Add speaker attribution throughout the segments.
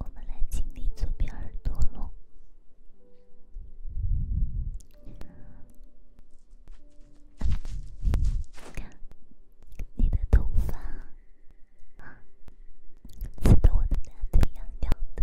Speaker 1: 我们来清理左边耳朵喽。你的头发啊，刺得我的大腿痒痒的。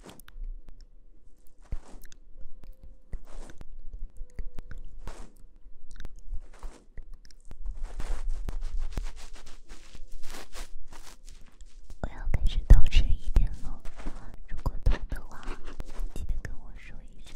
Speaker 1: 我要开始早睡一点喽。如果痛的话，记得跟我说一声。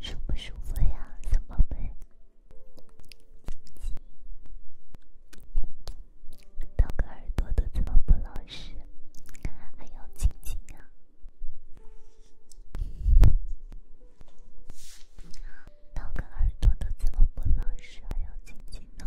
Speaker 1: 舒服舒服呀，小宝贝。道个耳朵都怎么不老实？还有亲亲呀！道个耳朵都怎么不老实？还有亲亲呢？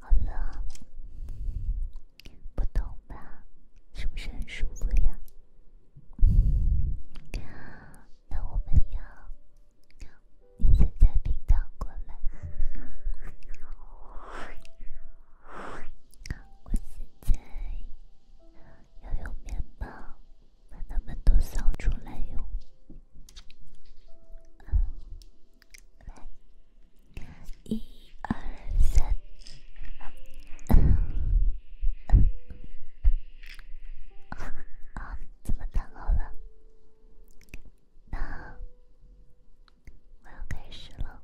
Speaker 1: 好了，不痛吧？是不是很舒服呀？那我们要，你现在平躺过来。我现在要用面包把他们都扫出来用。来，一二三。啊啊！怎么打扰了？那我要开始了，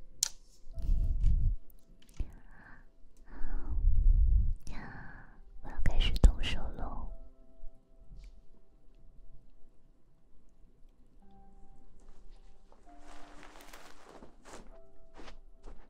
Speaker 1: 啊，我要开始动手喽。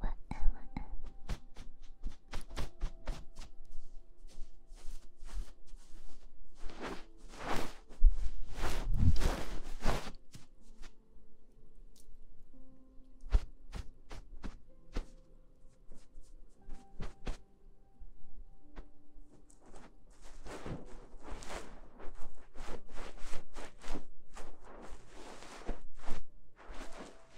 Speaker 1: 晚安，晚安。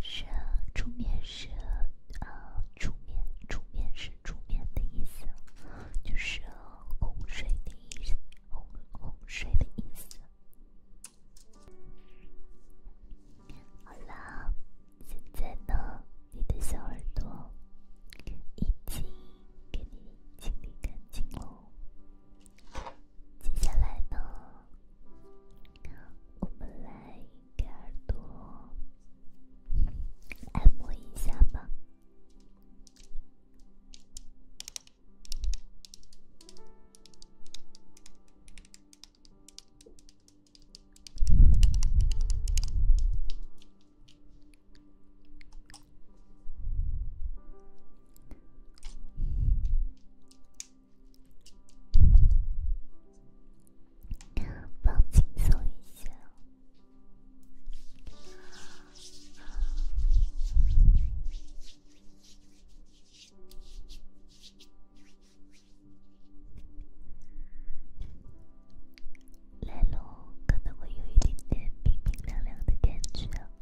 Speaker 1: 是，啊，出面是，啊，出面出面是出面的意思，就是哄睡的意思，哄洪水的意思。好啦，现在呢，你的小耳朵已经给你清理干净了。接下来呢，我们来给耳朵按摩一下吧。放轻松一下，来喽，可能会有一点点冰冰凉凉的感觉。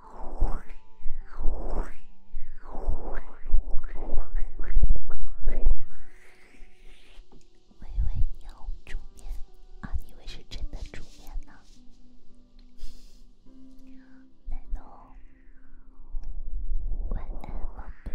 Speaker 1: 我以为你要煮面啊？你以为是真的煮面呢？难道？晚安，宝贝。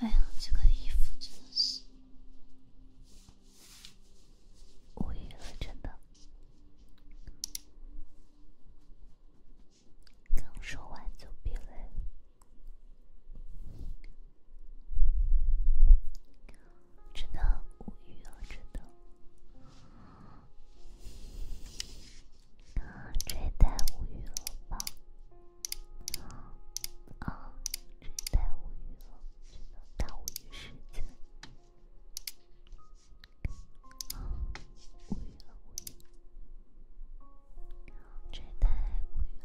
Speaker 1: 哎呀，这个衣服真的是无语了，真的。刚说完就鼻泪，真的无语啊，真的。啊，这也太无语了吧！啊，这也太无语了，真的太无语实在了。啊，无语了，无语了，这也太无语了。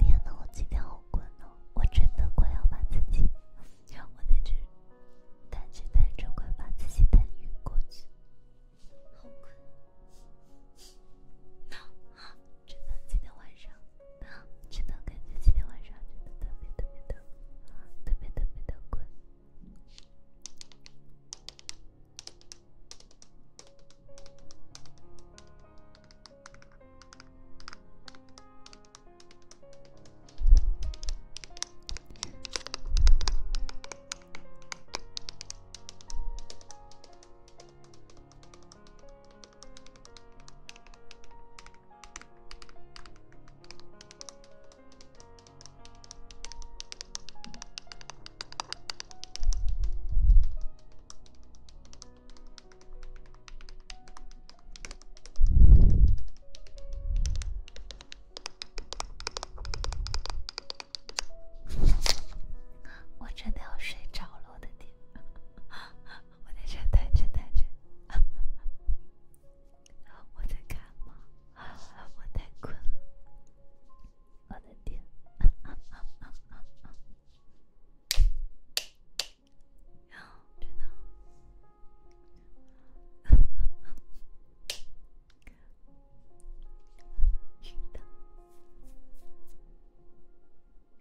Speaker 1: 天哪，我今天好困哦，我真的快要把自己，让 我在这，但只在着，快把自己带晕过去，好困。真的，今天晚上，真的感觉今天晚上真的特别特别的，特别特别的困。我真的要睡着了，我的天！我在这呆着呆着，然后 我在干嘛？我太困了，我在点，然后真的晕的。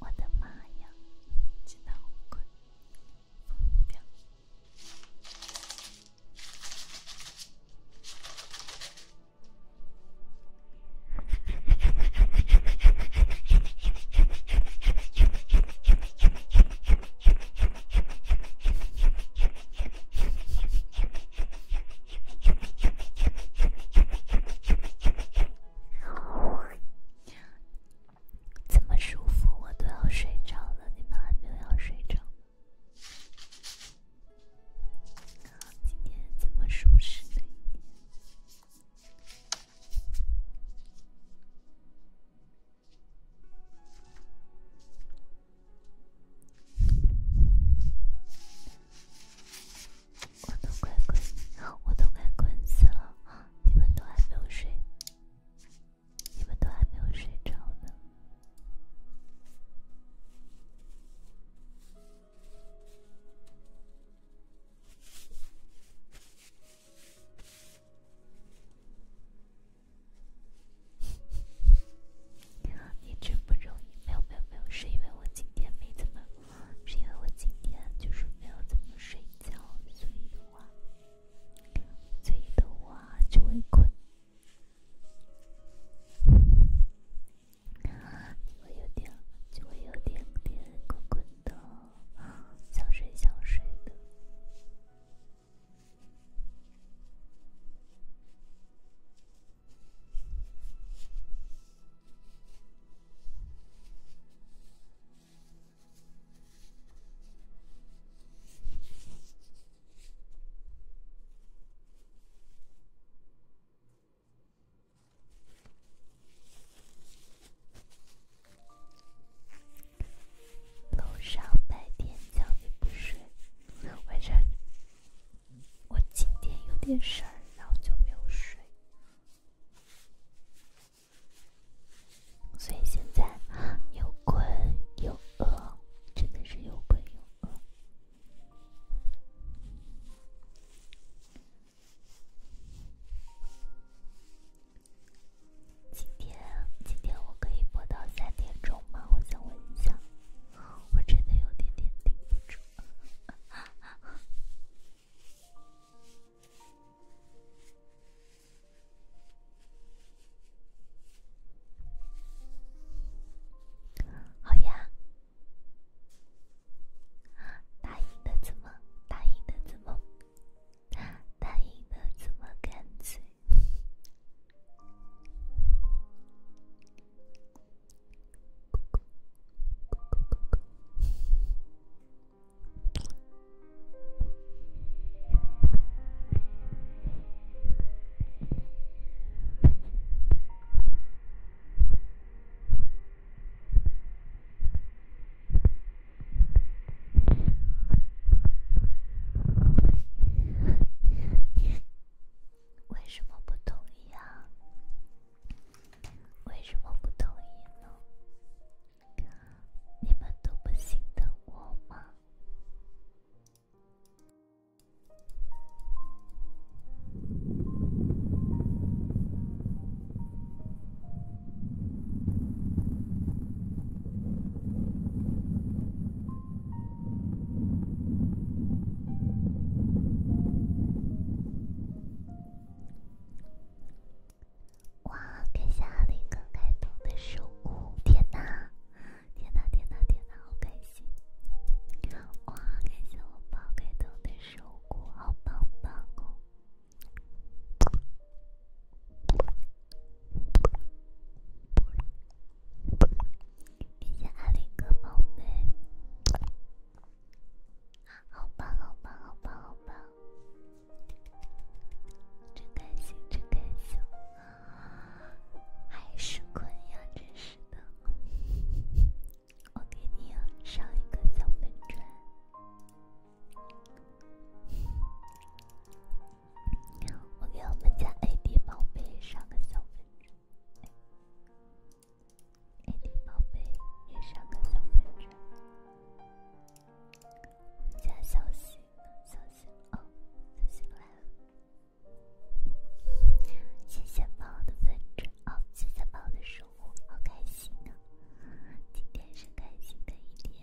Speaker 2: 我的妈呀！真的好困，怎么舒服我都要睡着了，你们还没有要睡着？今天怎么舒适呢？我都快困，我都快困死了。你们都还没有睡，你们都还没有睡着呢。
Speaker 1: 你好，真不容易。没有没有没有，是因为我今天没怎么。是因为我今天就是没有怎么睡觉，所以的话，所以的话就会困，我有点，就会有点点困困的，想睡想睡的。早上，白天叫你不睡，晚上我今天有点事儿，然后就没有睡。所以现在又困又饿，真的是又困又饿。今天今天我可以播到三点钟吗？我想问一下，我真的有点点顶不住。好呀，啊，答应的字母，答应的字母，答应的字母，干脆。为什么不同意啊？为什么不同意呢？你们都不心疼我吗？哇！感谢阿林哥开通的守护，天哪，天哪，天哪，天哪，好开心！哇！感谢我宝开通的守护，好棒棒哦！谢谢阿林哥宝贝。好吧，好吧，好吧，好吧，真开心，真开心，还是困呀，真是的。我给你上一个小粉钻，我给我们家 AD 宝贝上个小粉钻，AD 宝贝也上个小粉钻。看消息，消息哦，消息来了，谢谢猫的粉爪哦，谢谢猫的守护，好开心啊！今天是开心的一天。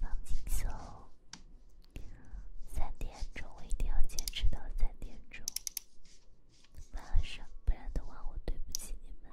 Speaker 2: 放松，三点钟我一定要坚持到三点钟，马上，不然的话我对不起你们。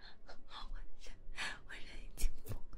Speaker 2: 好温暖，温暖已经不够。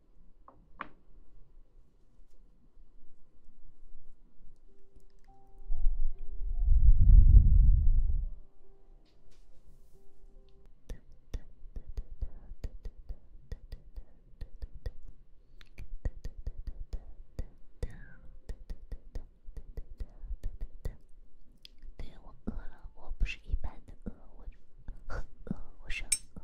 Speaker 1: 对，我饿了，我不是一般的饿，我很 饿，我是很饿。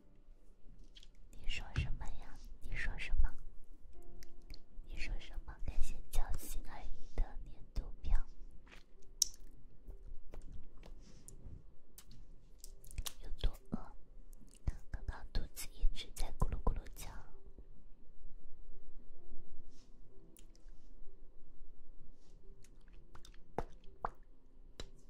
Speaker 1: 你说什么呀？你说什么？你说什么？感谢交心而已的年度票。有多饿？刚刚肚子一直在咕噜咕噜叫。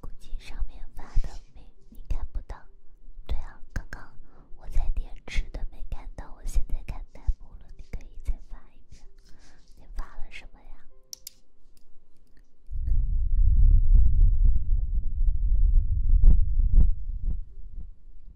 Speaker 1: 估计上面发的你看不到。对啊，刚刚我在电池的没看到，我现在看模糊了。你可以再发一下，你发了什么呀？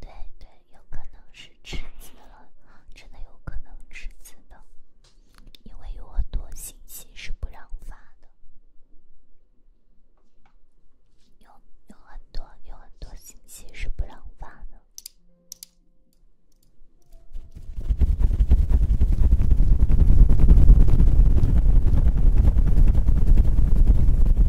Speaker 1: 对对，有可能是吃字了，真的有可能吃字了，因为有很多信息是不让发的，有有很多有很多信息是不让发的。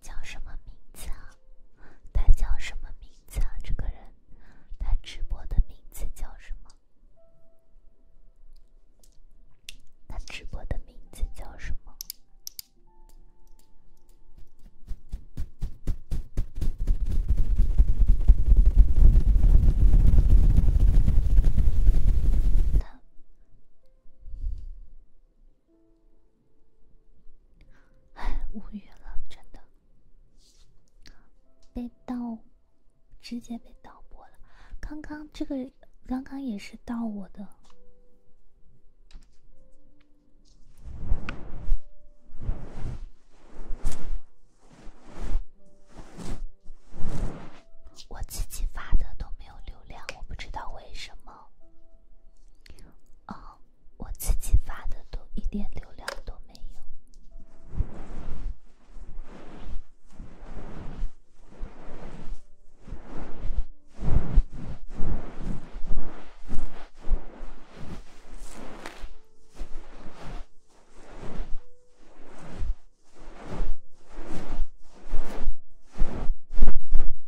Speaker 1: 叫什么名字啊？他叫什么名字啊？这个人，他直播的名字叫什么？他直播的名字叫什么？哎，无语了，真的被盗，直接被盗播了。刚刚这个，刚刚也是盗我的，我自己发的都没有流量，我不知道为什么。哦。我自己发的都一点流量都没有。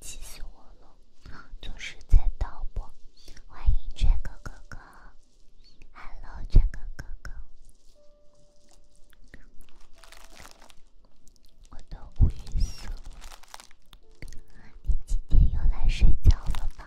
Speaker 1: 气死我了！总是在盗播。欢迎这个哥哥哈喽，这个哥哥哥，我的乌云色，你今天又来睡觉了吗？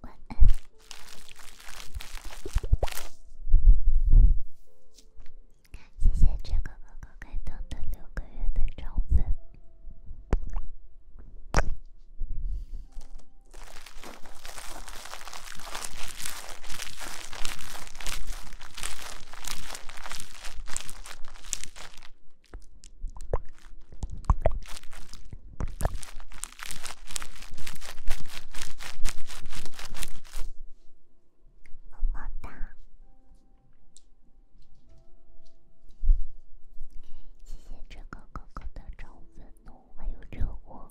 Speaker 1: 晚安。谢谢追哥哥哥感动的六个月的超粉。么么哒！谢谢这个哥哥的橙子奴，还有这我。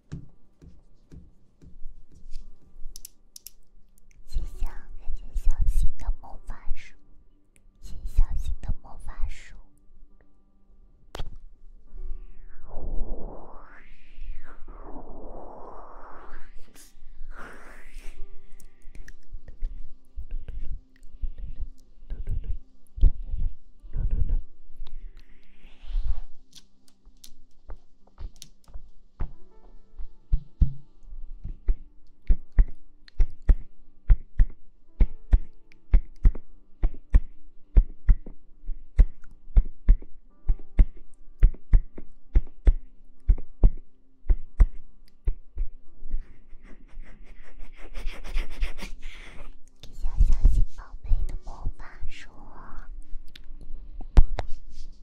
Speaker 1: 谢谢，谢谢小新的魔法书，谢谢小新的魔法书。给小小新宝贝的魔法书。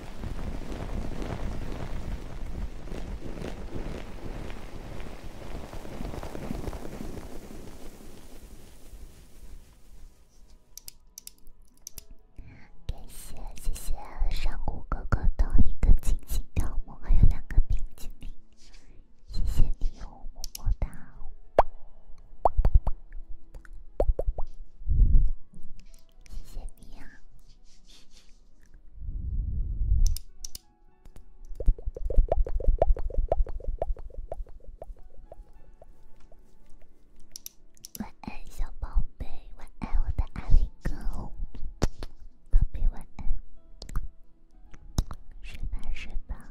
Speaker 1: 感谢，谢谢上古哥哥的一个精心雕模，还有两个冰激凌，谢谢你哦，么么哒。谢谢你啊！晚安，小宝贝，晚安，我的阿力哥，宝贝，晚安，睡吧，睡吧。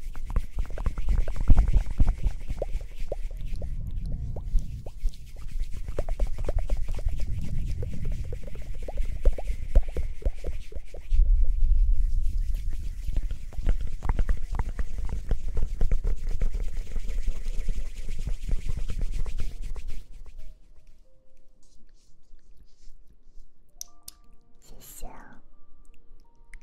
Speaker 1: 谢谢啊。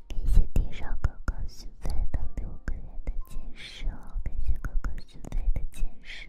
Speaker 1: 感谢地上哥哥送来的六个月的坚守，感谢哥哥送来的坚守。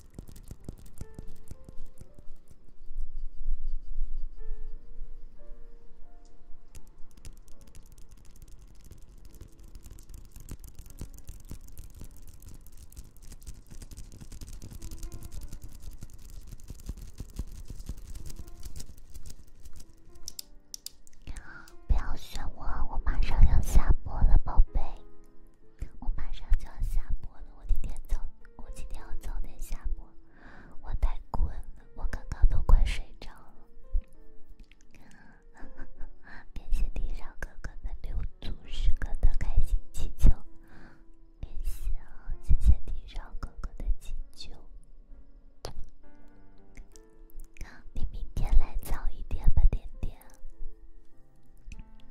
Speaker 1: 不要选我，我马上要下播了，宝贝。我马上就要下播了，我今天走。我今天要早点下播，我太困了，我刚刚都快睡着了。感 谢地上哥哥的六组十个的开心气球，感谢，谢谢地上哥哥的气球。你明天来早一点吧，点点。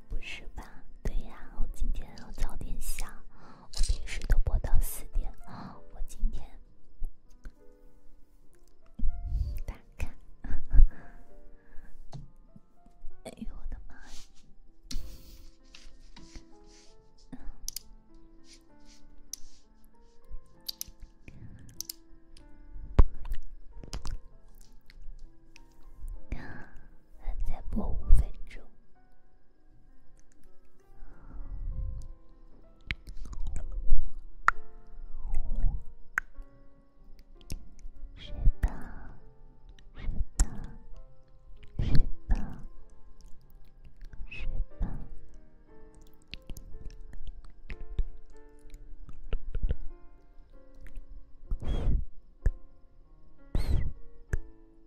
Speaker 1: 不是吧？对呀，我今天要早点下。我平时都播到四点啊，我今天打哎呦我的妈呀！再播五分钟。睡吧，睡吧，睡吧，睡吧。